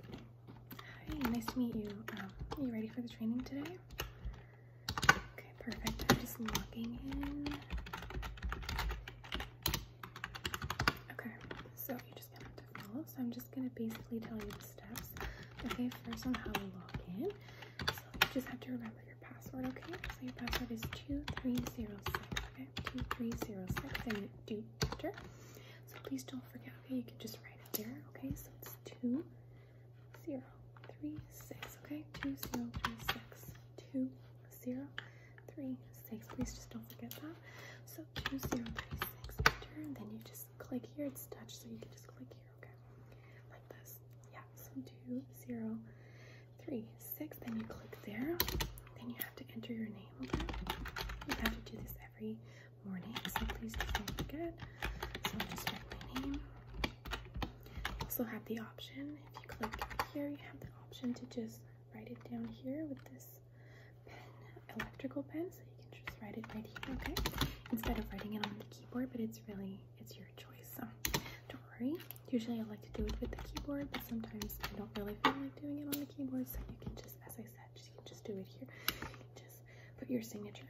Hi, nice to meet you. Um, are you ready for the training today? Okay, perfect. I'm just logging in. Okay, so you just have to follow. So I'm just gonna basically tell you the steps. Okay, first on how to log in. So you just have to remember your password, okay? So your password is 2306, okay? 2306, Then do enter. So please don't forget, okay? You can just write right up there. Okay, so it's two, zero, three, six. Okay, two, zero, three, six, two, zero, three, six. Please just don't forget that. So two, zero, three, six. Enter, and then you just click here. It's touch, so you can just click here. Okay, like this. Yeah. So two, zero, three, six. Then you click there. Then you have to enter your name. Okay, you have to do this every morning, so please don't forget. So I'll just write my name. Also have the option, if you click here, you have the option to just write it down here with this pen, electrical pen, so you can just write it right here, okay? Instead of writing it on the keyboard, but it's really, it's your choice, so don't worry. Usually I like to do it with the keyboard, but sometimes I don't really feel like doing it on the keyboard, so you can just, as I said, just, you can just do it here put your signature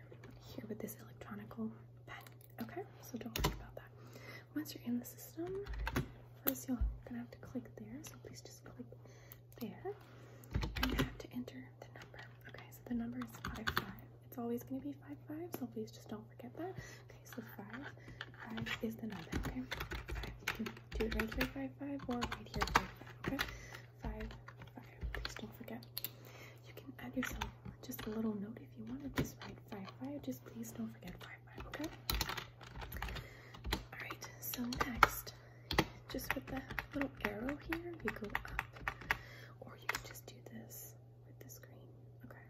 here with this electronic pen. Okay, so don't worry about that. Once you're in the system, first you're gonna have to click there. So please just click there, and you have to enter the number. Okay, so the number is five five. It's always gonna be five five. So please just don't forget that. Okay, so five five is the number. Okay, five. do it right here five or right here Okay five, five. Please don't forget. You can add yourself just a little note if you want to. Just write five, five. Just please don't forget five, five. Okay. All right. So next, just with the little arrow here, you go up, or you can just do this with the screen. Okay.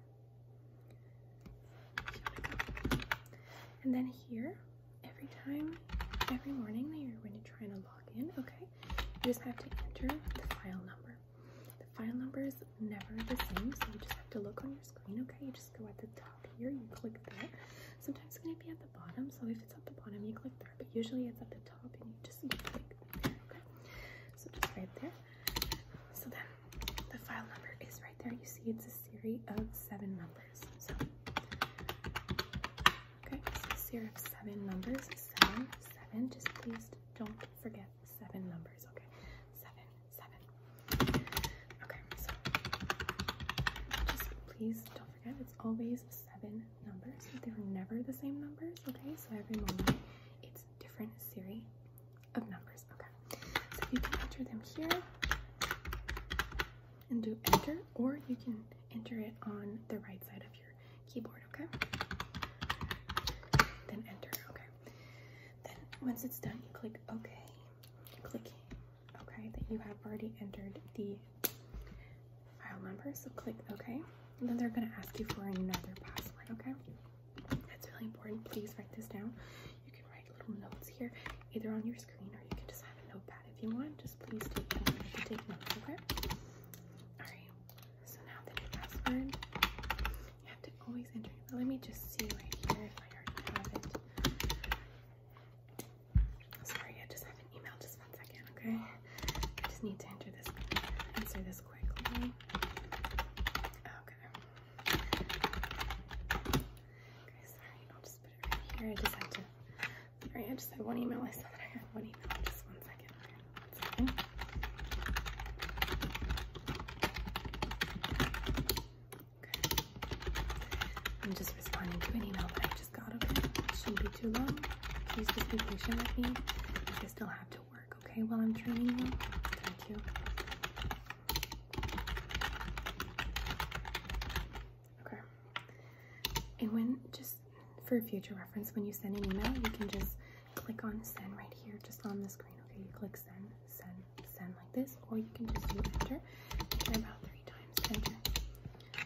And then here every time, every morning that you're going to try and log in, okay, you just have to enter the file number. The file number is never the same, so you just have to look on your screen, okay? You just go at the top here, you click there. Sometimes it's going to be at the bottom, so if it's at the bottom, you click there, but usually it's at the top and you just you click, okay? So just right there. So then the file number is right there. You see it's a series of seven numbers. So Okay, so here have seven numbers. Seven, seven. Just please don't forget seven numbers. Okay, seven, seven. Okay, so just please don't forget it's always seven numbers. They're never the same numbers. Okay, so every moment it's different series of numbers. Okay, so you can enter them here and do enter, or you can enter it on the right side of your keyboard, okay? Then enter, okay? Then once it's done, you click OK. Click OK that you have already entered the file number, so click OK. And then they're going to ask you for another password, okay? That's really important. Please write this down. You can write little notes here, either on your screen or you can just have a notepad. If you want, just please take note, take note okay? Alright, so now that your password, you have to always enter your Let me just see right here if I already have it. Sorry, I just have an email. Just one second, okay? I just need to enter this, answer this quickly. Okay. Okay, sorry. I'll just put it right here. I just have to Sorry, I just had one email. I saw that I had one email. Just one second. Okay. I'm just responding to an email that I just got, okay? It shouldn't be too long. Please just be patient with me. I still have to work, okay, while I'm training you. Thank you. Okay. And when, just for future reference, when you send an email, you can just click on send right here, just on the screen. Okay, you click send, send, send like this, or you can just do enter, enter about three times, enter,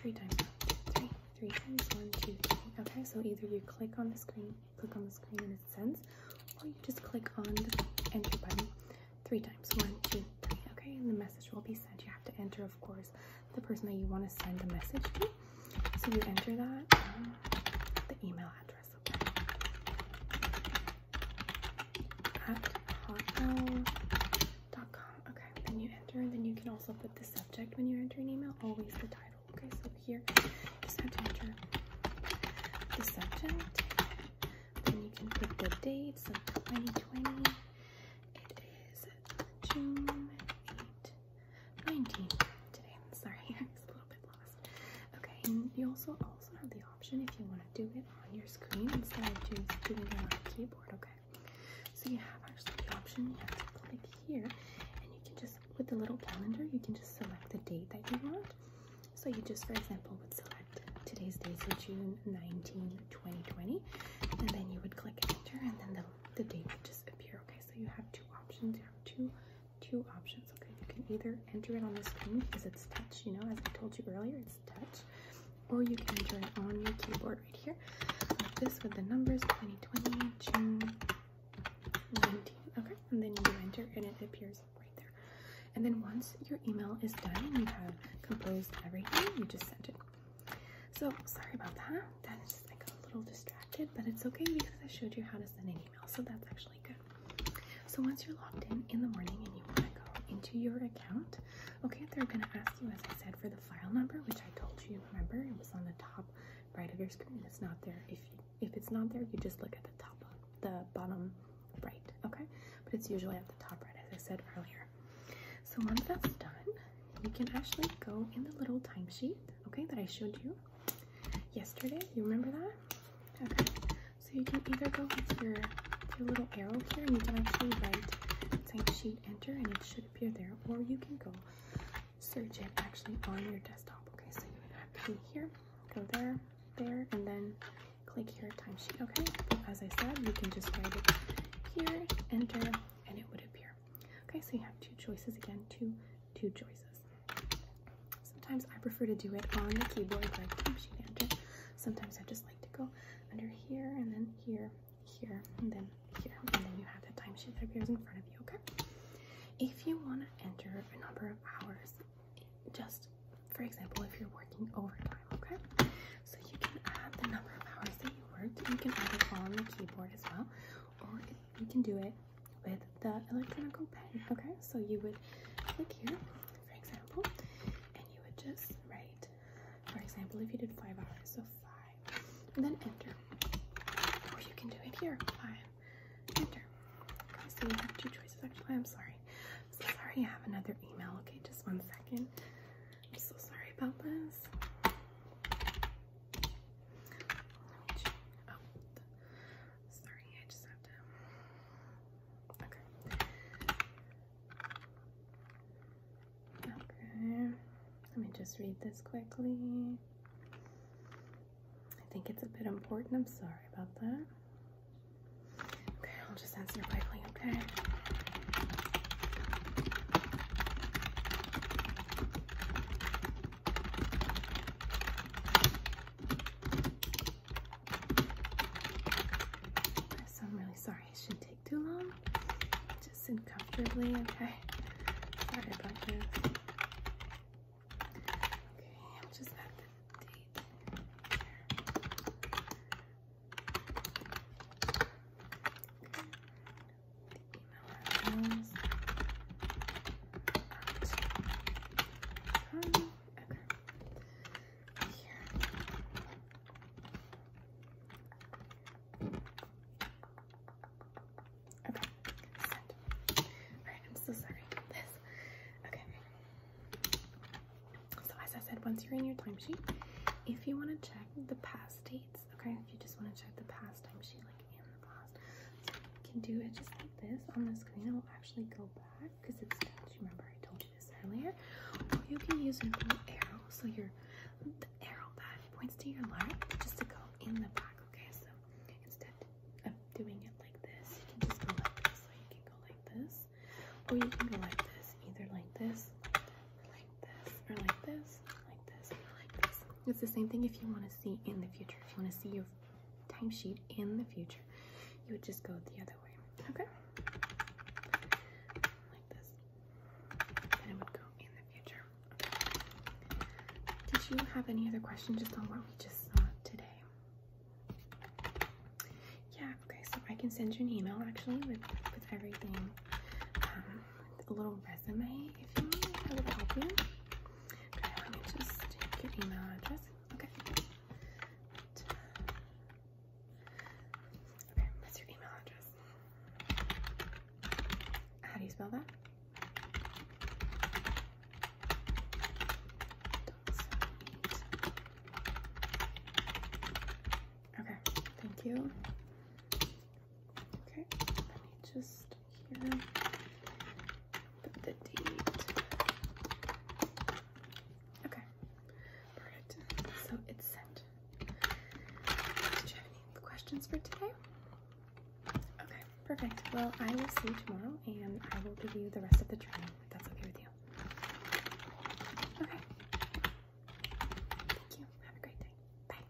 three times, three, Okay, so either you click on the screen, click on the screen and it sends, or you just click on the enter button three times, one, two, three. Okay, and the message will be sent. You have to enter, of course the person that you want to send a message to so you enter that uh, the email address okay at hotmail.com okay then you enter and then you can also put the subject when you enter an email always the title okay so here you just have to enter the subject then you can put the date so 2020 it is June 8 19 today. Sorry, I was a little bit lost. Okay, you also also have the option if you want to do it on your screen instead of just doing it on the keyboard, okay? So you have actually the option, you have to click here and you can just with the little calendar you can just select the date that you want. So you just for example would select today's date, so June 19, 2020, and then you would click enter and then the the date will just appear. Okay, so you have two options. You have two two options. Okay, you can either enter it on the screen because it's touch, you know, as I told you earlier, it's touch, or you can enter it on your keyboard right here. Like this with the numbers 2020, June 19. Okay, and then you enter and it appears right there. And then once your email is done and you have composed everything, you just send it. So sorry about that that is I got a little distracted, but it's okay because I showed you how to send an email, so that's actually good. So once you're logged in in the morning and you want to go into your account, okay, they're gonna ask you, as I said, for the file number, which I told you. Remember, it was on the top right of your screen. It's not there. If if it's not there, you just look at the top, the bottom right, okay? But it's usually at the top right, as I said earlier. So once that's done, you can actually go in the little timesheet, okay, that I showed you yesterday. You remember that? Okay. So you can either go with your, little arrow here and you can actually write timesheet enter and it should appear there, or you can go search it actually on your desktop. Okay, so you have to be here, go there, there, and then click here timesheet. Okay, as I said, you can just write it here, enter, and it would appear. Okay, so you have two choices again, two, two choices. Sometimes I prefer to do it on the keyboard like time sheet manager. Sometimes I just like to go under here and then here, here, and then here, and then you have that time sheet that appears in front of you, okay? If you want to enter a number of hours, just for example, if you're working overtime, okay? So you can add the number of hours that you worked, you can add it on the keyboard as well, or it you can do it with the electronic pen. Okay, so you would click here, for example, and you would just write, for example, if you did five hours, so five, and then enter. Or you can do it here, five, enter. Okay, so you have two choices. Actually, I'm sorry. I'm so sorry, I have another email. Okay, just one second. I'm so sorry about this sorry, I just have to. Okay. Okay. Let me just read this quickly. I think it's a bit important. I'm sorry about that. Okay, I'll just answer quickly, okay? This, I'm really sorry it shouldn't take too long. Just sit comfortably, okay? Sorry about this. Okay, I'll just add the date here. Okay okay. Here. Okay. Alright, I'm so sorry this. Okay. So as I said, once you're in your timesheet, if you want to check the past dates Okay, if you just want to check the past time sheet, like in the past, you can do it just like this on the screen. I will actually go back because it's. Do you remember I told you this earlier? you can use an arrow, so your arrow that points to your line just to go in the back. Okay, so instead of doing it like this, you can just go like this. So you can go like this, or you can go like this, either like this, like this, or like this. It's the same thing if you want to see in the future. If you want to see your timesheet in the future, you would just go the other way. Okay? Like this. Then it would go in the future. Did you have any other questions just on what we just saw today? Yeah, okay, so I can send you an email actually with, with everything. Um, a little resume if you want, I will help you. Okay, let me just take your email address. Okay. Okay, what's your email address? How do you spell that? Okay, thank you. Okay, let me just put the date. Okay, perfect. So it's sent. Did you have any questions for today? Okay, perfect. Well, I will see you tomorrow and I will give you the rest of the training if that's okay with you. Okay. Thank you. Have a great day. Bye.